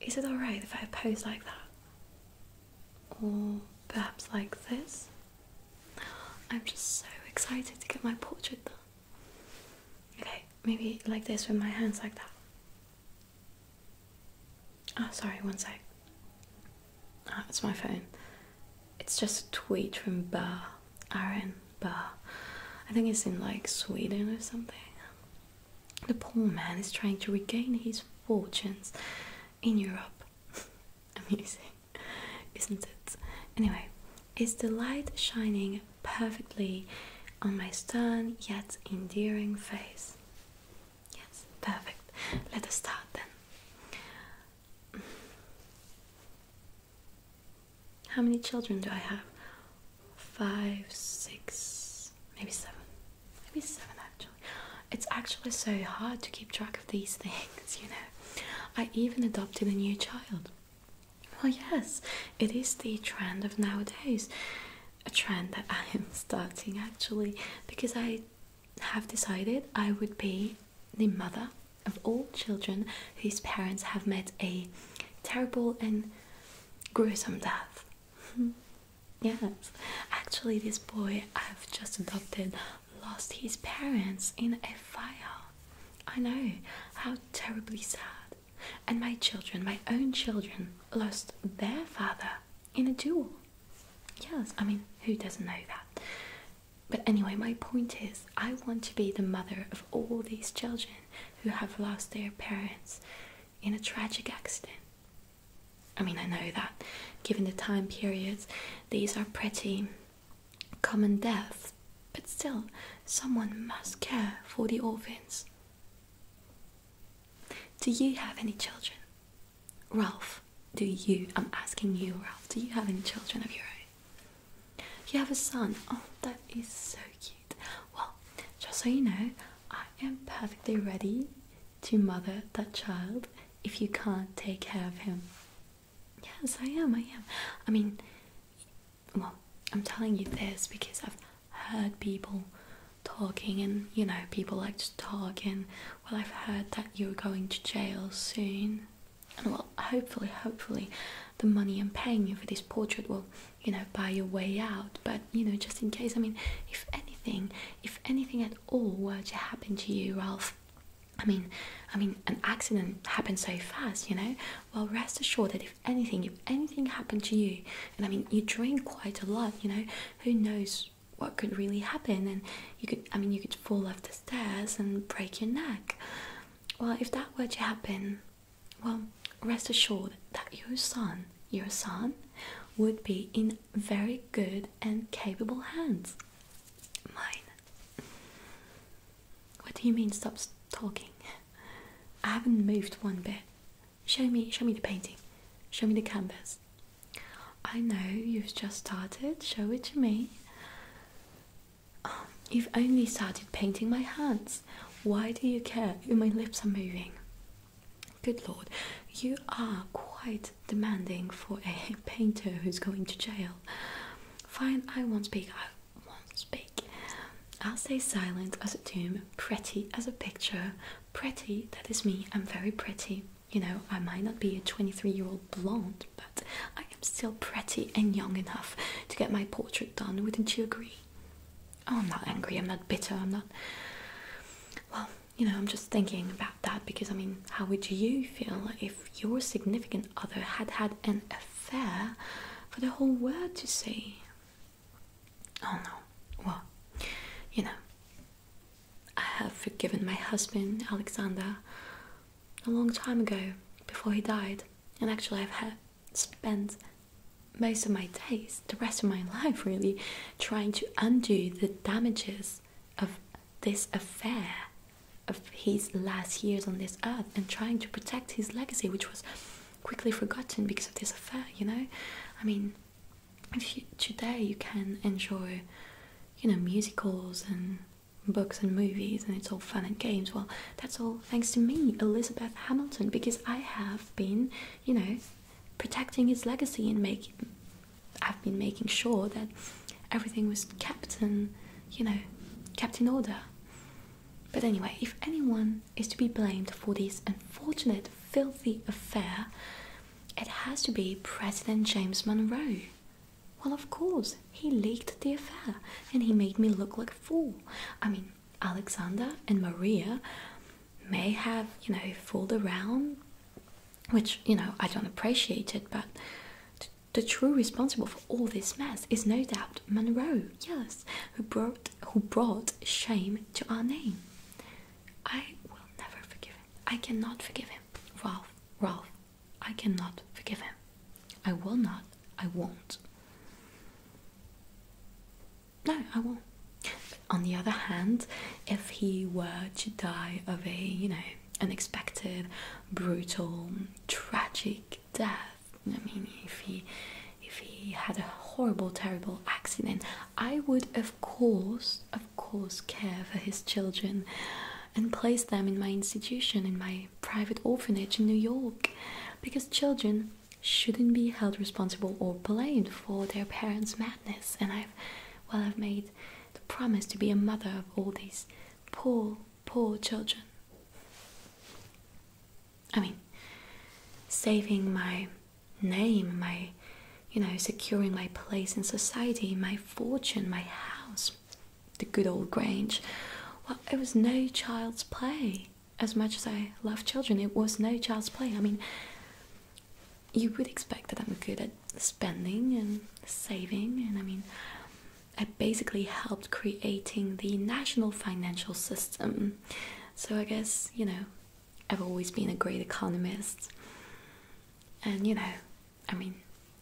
Is it alright if I pose like that? Or perhaps like this? I'm just so excited to get my portrait done. Okay, maybe like this with my hands like that. Oh, sorry, one sec. Oh, ah, it's my phone. It's just a tweet from Bar, Aaron Bar. I think it's in like Sweden or something. The poor man is trying to regain his fortunes in Europe. Amusing, isn't it? Anyway, is the light shining perfectly on my stern yet endearing face? Yes, perfect. Let us start then. How many children do I have? Five, six, maybe seven. Maybe seven actually. It's actually so hard to keep track of these things, you know. I even adopted a new child. Well, yes, it is the trend of nowadays. A trend that I am starting actually because I have decided I would be the mother of all children whose parents have met a terrible and gruesome death. yes, actually, this boy I've just adopted lost his parents in a fire. I know, how terribly sad. And my children, my own children, lost their father in a duel. Yes, I mean, who doesn't know that? But anyway, my point is, I want to be the mother of all these children who have lost their parents in a tragic accident. I mean, I know that given the time periods, these are pretty common deaths, but still, someone must care for the orphans. Do you have any children? Ralph, do you? I'm asking you, Ralph, do you have any children of your own? You have a son. Oh, that is so cute. Well, just so you know, I am perfectly ready to mother that child if you can't take care of him. Yes, I am. I am. I mean, well, I'm telling you this because I've heard people talking, and you know, people like to talk, and well, I've heard that you're going to jail soon and well hopefully hopefully the money i'm paying you for this portrait will you know buy your way out but you know just in case i mean if anything if anything at all were to happen to you ralph i mean i mean an accident happens so fast you know well rest assured that if anything if anything happened to you and i mean you drink quite a lot you know who knows what could really happen and you could i mean you could fall off the stairs and break your neck. Well, if that were to happen, well, rest assured that your son, your son, would be in very good and capable hands. Mine. What do you mean stop talking? I haven't moved one bit. Show me, show me the painting. Show me the canvas. I know you've just started, show it to me. Um, you've only started painting my hands. Why do you care? My lips are moving. Good lord, you are quite demanding for a painter who's going to jail. Fine, I won't speak. I won't speak. I'll stay silent as a tomb, pretty as a picture. Pretty, that is me, I'm very pretty you know, I might not be a 23 year old blonde, but I am still pretty and young enough to get my portrait done. Wouldn't you agree? Oh, I'm not angry, I'm not bitter, I'm not. Well, you know, I'm just thinking about that because I mean, how would you feel if your significant other had had an affair for the whole world to see? Oh no, well, you know, I have forgiven my husband, Alexander, a long time ago before he died. And actually, I've spent most of my days, the rest of my life really, trying to undo the damages of this affair of his last years on this earth and trying to protect his legacy, which was quickly forgotten because of this affair, you know? I mean, today you can enjoy, you know, musicals and books and movies and it's all fun and games. Well, that's all thanks to me, Elizabeth Hamilton, because I have been, you know, protecting his legacy and making. I've been making sure that everything was kept in, you know, kept in order. But anyway, if anyone is to be blamed for this unfortunate, filthy affair, it has to be President James Monroe. Well, of course, he leaked the affair and he made me look like a fool. I mean, Alexander and Maria may have, you know, fooled around, which, you know, I don't appreciate it, but the true responsible for all this mess is no doubt Monroe, yes, who brought who brought shame to our name. I will never forgive him. I cannot forgive him. Ralph, Ralph, I cannot forgive him. I will not. I won't. No, I won't. on the other hand, if he were to die of a, you know, unexpected, brutal, tragic death, I mean, if he if he had a horrible, terrible accident, I would of course, of of course, care for his children and place them in my institution, in my private orphanage in New York, because children shouldn't be held responsible or blamed for their parents' madness. And I've, well, I've made the promise to be a mother of all these poor, poor children. I mean, saving my name, my, you know, securing my place in society, my fortune, my house, the good old Grange. Well, it was no child's play. As much as I love children, it was no child's play. I mean, you would expect that I'm good at spending and saving, and I mean, I basically helped creating the national financial system. So I guess, you know, I've always been a great economist. And you know, I mean,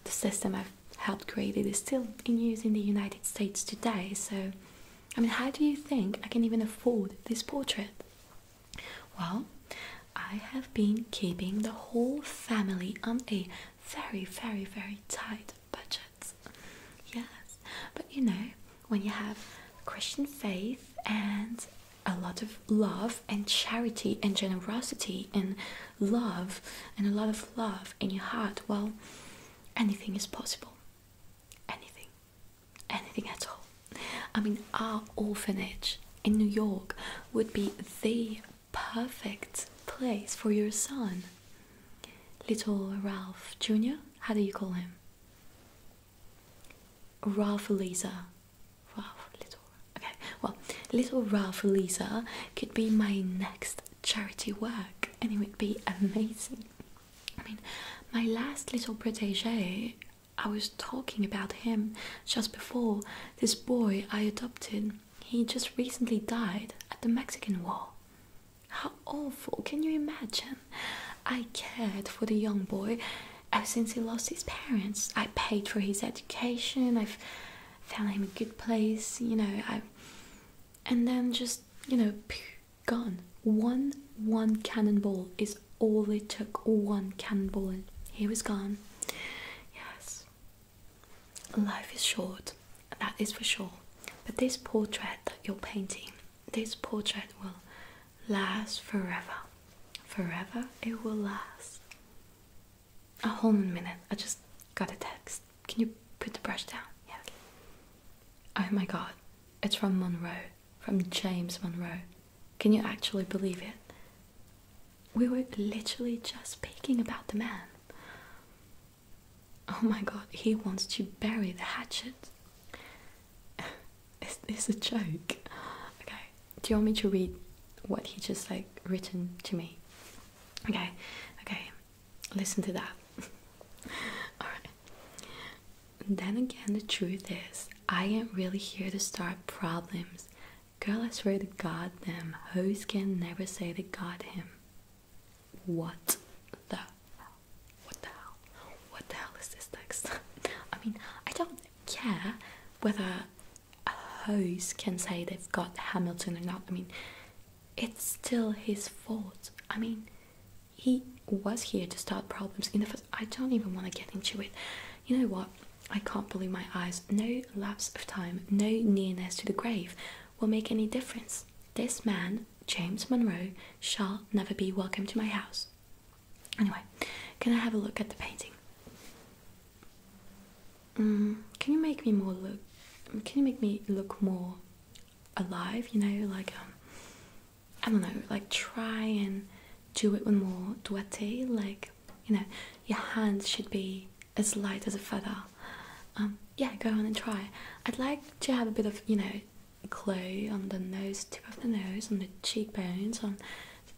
the system I've helped create it is still in use in the United States today. So, I mean, how do you think I can even afford this portrait? Well, I have been keeping the whole family on a very, very, very tight budget. Yes, but you know, when you have Christian faith and a lot of love and charity and generosity and love and a lot of love in your heart, well, anything is possible. Anything. Anything at all. I mean, our orphanage in New York would be the perfect place for your son. Little Ralph Jr., how do you call him? Ralph Lisa. Ralph Little. Okay, well, Little Ralph Lisa could be my next charity work, and it would be amazing. I mean, my last little protege, I was talking about him just before. This boy I adopted, he just recently died at the Mexican War. How awful, can you imagine? I cared for the young boy ever since he lost his parents. I paid for his education, I've found him a good place, you know, I and then just, you know, gone. One one cannonball is all it took. One cannonball and he was gone. Yes. Life is short, that is for sure. But this portrait that you're painting, this portrait will last forever. Forever it will last. A whole minute. I just got a text. Can you put the brush down? Yeah. Oh my god. It's from Monroe. From James Monroe. Can you actually believe it? We were literally just speaking about the man. Oh my god, he wants to bury the hatchet. Is this a joke? Okay, do you want me to read what he just like written to me? Okay, okay, listen to that. Alright. Then again, the truth is, I ain't really here to start problems. Girl, I swear to God, them hoes can never say they got him. What the hell? What the hell? What the hell is this text? I mean, I don't care whether hoes can say they've got Hamilton or not. I mean, it's still his fault. I mean, he was here to start problems in the first. I don't even want to get into it. You know what? I can't believe my eyes. No lapse of time, no nearness to the grave will make any difference. This man, James Monroe, shall never be welcome to my house. Anyway, can I have a look at the painting? Um, can you make me more look? Can you make me look more alive? You know, like um, I don't know, like try and do it with more duete. Like you know, your hands should be as light as a feather. Um, yeah, go on and try. I'd like to have a bit of you know glow on the nose, tip of the nose, on the cheekbones, on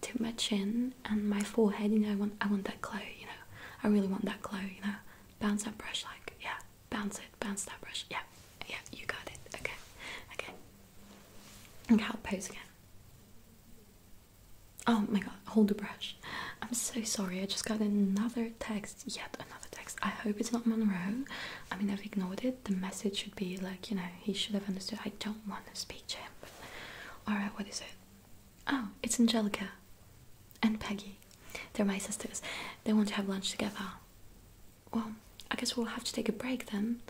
to my chin and my forehead. You know, I want I want that glow. You know, I really want that glow. You know, bounce that brush like yeah, bounce it, bounce that brush. Yeah, yeah, you got it. Okay, okay. Okay, I'll pose again. Oh my god, hold the brush. I'm so sorry, I just got another text, yet another text. I hope it's not Monroe. I mean, I've ignored it. The message should be like, you know, he should have understood. I don't want to speak to him. Alright, what is it? Oh, it's Angelica and Peggy. They're my sisters. They want to have lunch together. Well, I guess we'll have to take a break then.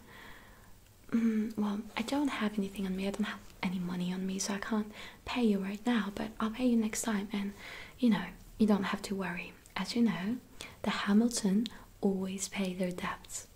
Mm, well, I don't have anything on me. I don't have any money on me, so I can't pay you right now, but I'll pay you next time. And you know, you don't have to worry. As you know, the Hamilton always pay their debts.